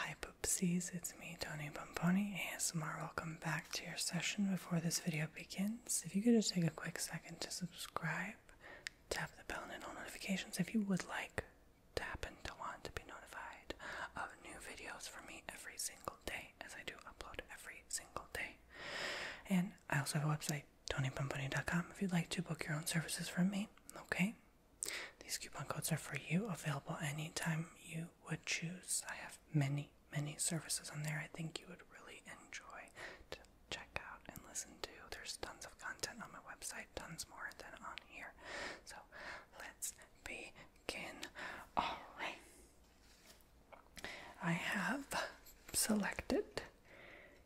Hi Poopsies, it's me, Tony Pomponi, ASMR. Welcome back to your session. Before this video begins, if you could just take a quick second to subscribe, tap the bell and all notifications if you would like tap happen to want to be notified of new videos from me every single day, as I do upload every single day. And I also have a website, TonyPomponi.com, if you'd like to book your own services from me, okay? These coupon codes are for you, available anytime you would choose. I have many, many services on there I think you would really enjoy to check out and listen to. There's tons of content on my website, tons more than on here. So let's begin. Alright. I have selected,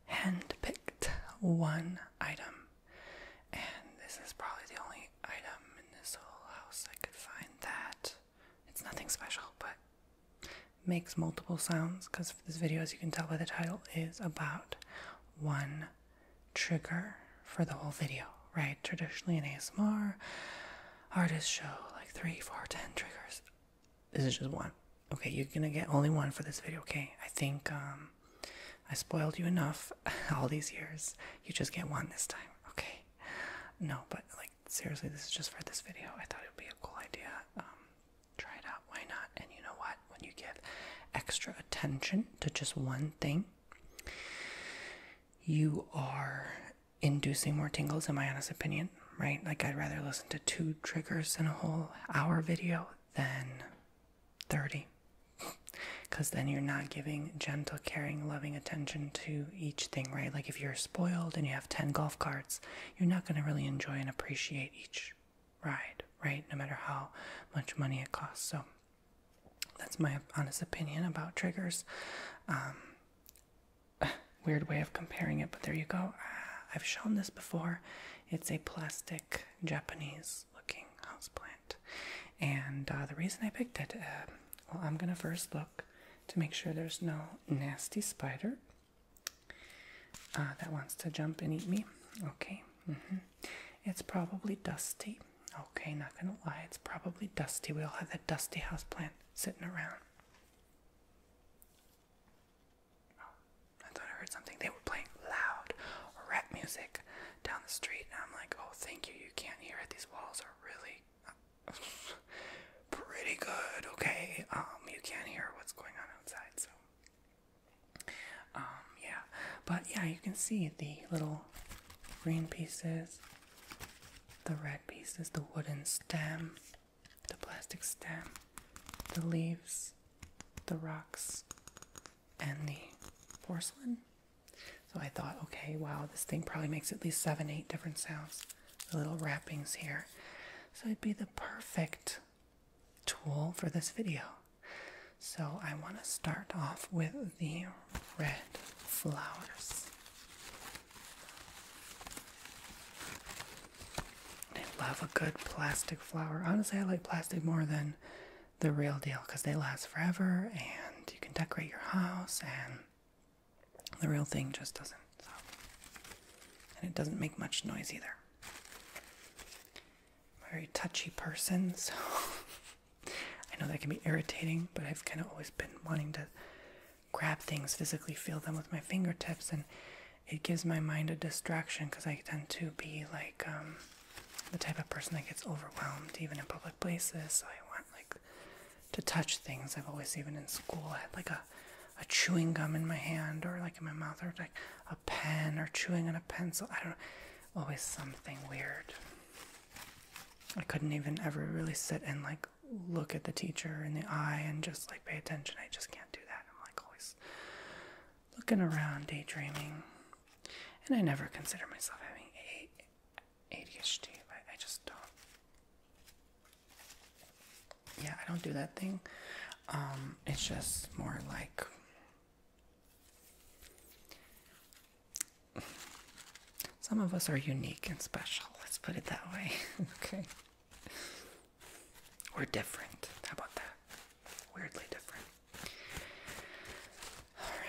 hand picked one item and this is probably the only item in this whole house I could find that. It's nothing special, but makes multiple sounds because this video, as you can tell by the title, is about one trigger for the whole video, right? Traditionally in ASMR, artists show like three, four, ten triggers. This is just one. Okay, you're gonna get only one for this video, okay? I think um I spoiled you enough all these years. You just get one this time, okay? No, but like seriously, this is just for this video. I thought it would be a cool idea. Um, try it out. Why not? And you know what? When you give extra attention to just one thing, you are inducing more tingles, in my honest opinion, right? Like, I'd rather listen to two triggers in a whole hour video than 30. Because then you're not giving gentle, caring, loving attention to each thing, right? Like if you're spoiled and you have 10 golf carts, you're not going to really enjoy and appreciate each ride, right? No matter how much money it costs. So that's my honest opinion about triggers. Um, weird way of comparing it, but there you go. Ah, I've shown this before. It's a plastic Japanese looking houseplant. And uh, the reason I picked it, uh, well, I'm gonna first look to make sure there's no nasty spider uh, that wants to jump and eat me. Okay, mm -hmm. it's probably dusty. Okay, not gonna lie, it's probably dusty. We all have that dusty houseplant sitting around. I thought I heard something. They were playing loud rap music down the street, and I'm like, oh, thank you. You can't hear it. These walls are really pretty good, okay? Um, you can't hear what's going on outside, so. Um, yeah. But yeah, you can see the little green pieces, the red pieces, the wooden stem, the plastic stem, the leaves, the rocks, and the porcelain. So I thought, okay, wow, this thing probably makes at least seven, eight different sounds. The little wrappings here. So it'd be the perfect tool for this video. So I want to start off with the red flowers. I love a good plastic flower. Honestly, I like plastic more than the real deal because they last forever and you can decorate your house and the real thing just doesn't. And it doesn't make much noise either. very touchy person, so I know that can be irritating, but I've kind of always been wanting to grab things, physically feel them with my fingertips, and it gives my mind a distraction because I tend to be like, um, the type of person that gets overwhelmed even in public places. So I want like to touch things. I've always even in school I had like a a chewing gum in my hand or like in my mouth or like a pen or chewing on a pencil. I don't know. Always something weird. I couldn't even ever really sit and like look at the teacher in the eye and just like pay attention. I just can't do that. I'm like always looking around, daydreaming. And I never consider myself having ADHD. I, I just don't. Yeah, I don't do that thing. Um, it's just more like some of us are unique and special. Let's put it that way. okay. We're different. How about that? weirdly different. All right.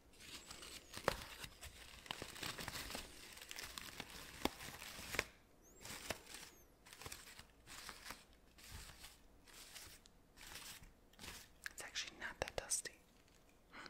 It's actually not that dusty. Hm.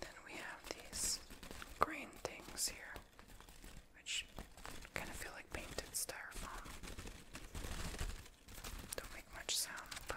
Then we have these green things here, which kind of feel like painted styrofoam. Don't make much sound, but.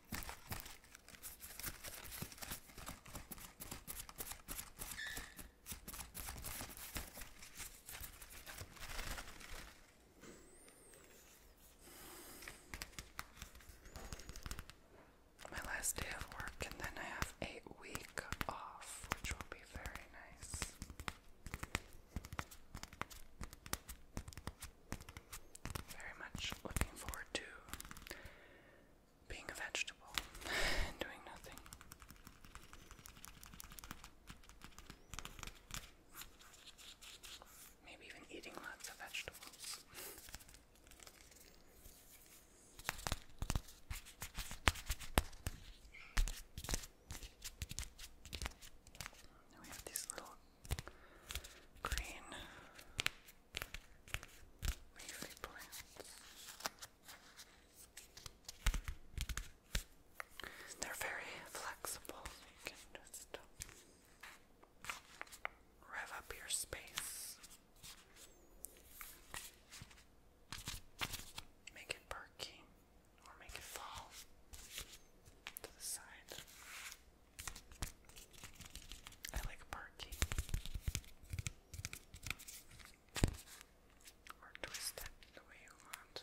My last day of work, and then I have a week off, which will be very nice. Very much looking forward to being a vegetable and doing nothing. Maybe even eating lots of vegetables. Now we have these little green leafy plants. They're very flexible, you can just uh, rev up your space, make it perky, or make it fall to the side. I like Parky. Or twist the way you want.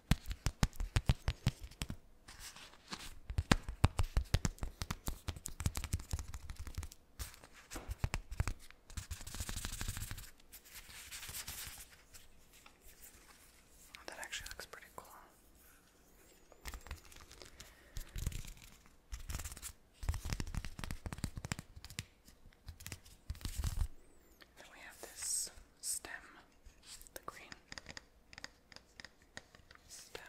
Oh, that actually looks pretty cool. Then we have this stem, the green stem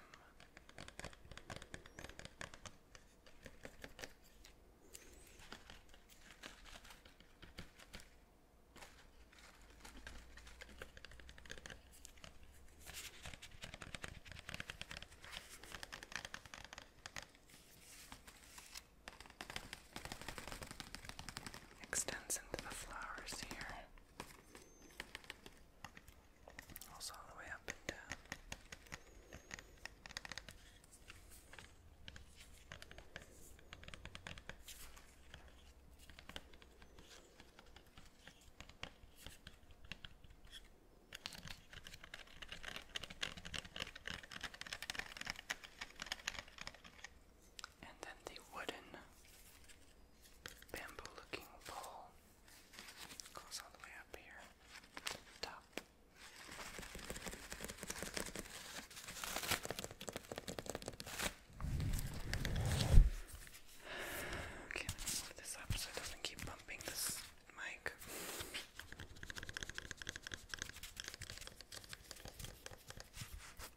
extends into the flowers here. Also all the way up and down and then the wooden bamboo looking pole goes all the way up here to the top. move this up so keep bumping this mic.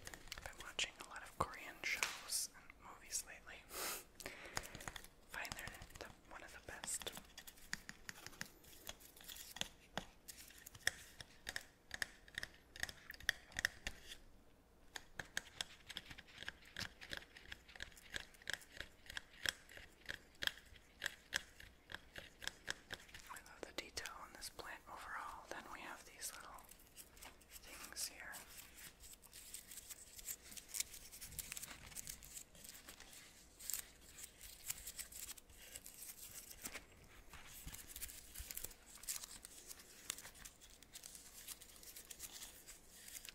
I've been watching a lot of Korean shows and movies lately. Find they one of the best. I love the detail on this plant overall. Then we have these little things here.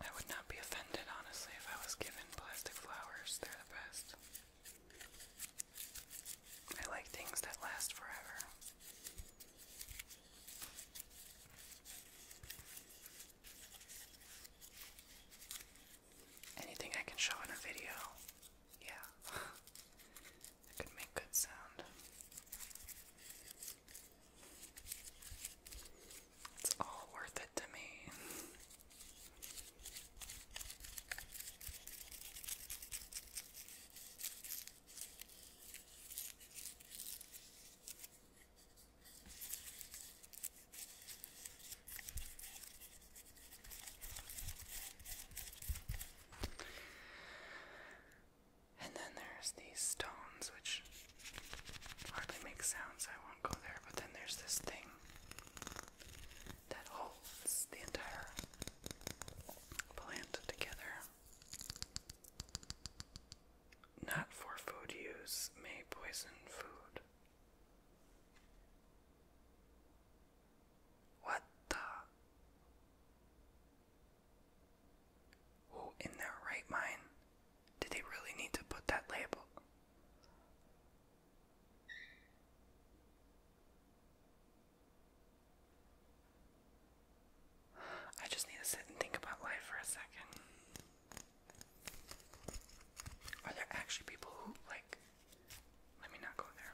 I would not be offended, honestly, if I was given plastic flowers. They're the best. I like things that last forever. Anything I can show in a video, yeah, that could make good sound. It's all worth it to me. And then there's these stones, which hardly make sounds, I won't go there, but then there's this thing that holds the entire Plant together. Not for food use may poison food. What the? Who in their right mind did they really need to put that label? I just need to sit and think about life for a second. Are there actually people who, like, let me not go there.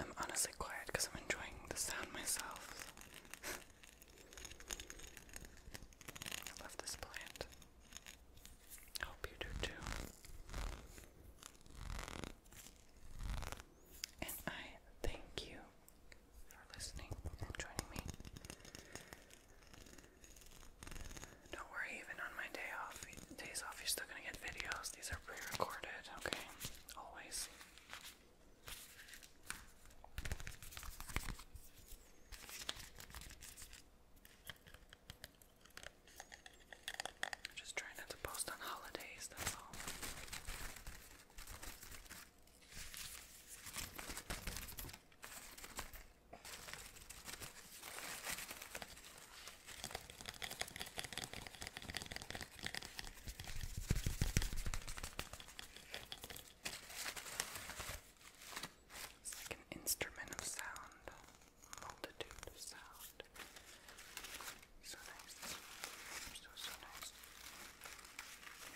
I'm honestly quiet because I'm enjoying the sound myself. I love this plant. hope you do too. And I thank you for listening and joining me. Don't worry, even on my day off, days off, you're still gonna get videos. These are pre-recorded, okay? Always. Just try not to post on holidays, that's all. It's like an instrument of sound multitude of sound. So nice. So, so nice.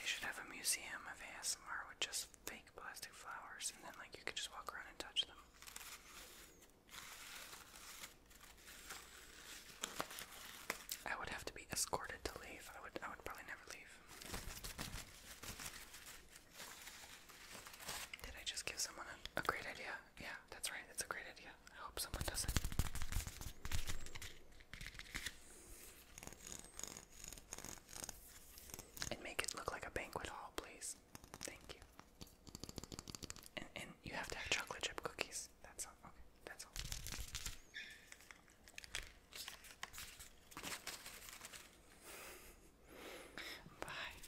They should have a museum of ASMR with just fake plastic flowers, and then, like, you could just walk around and touch them. I would have to be escorted to leave. I would I would probably never leave. Did I just give someone a great idea? yeah, that's right. That's a great idea. I hope someone does it. And make it look like a banquet hall, please. Thank you. And, and you have to have chocolate chip cookies. That's all. Okay, that's all. Bye.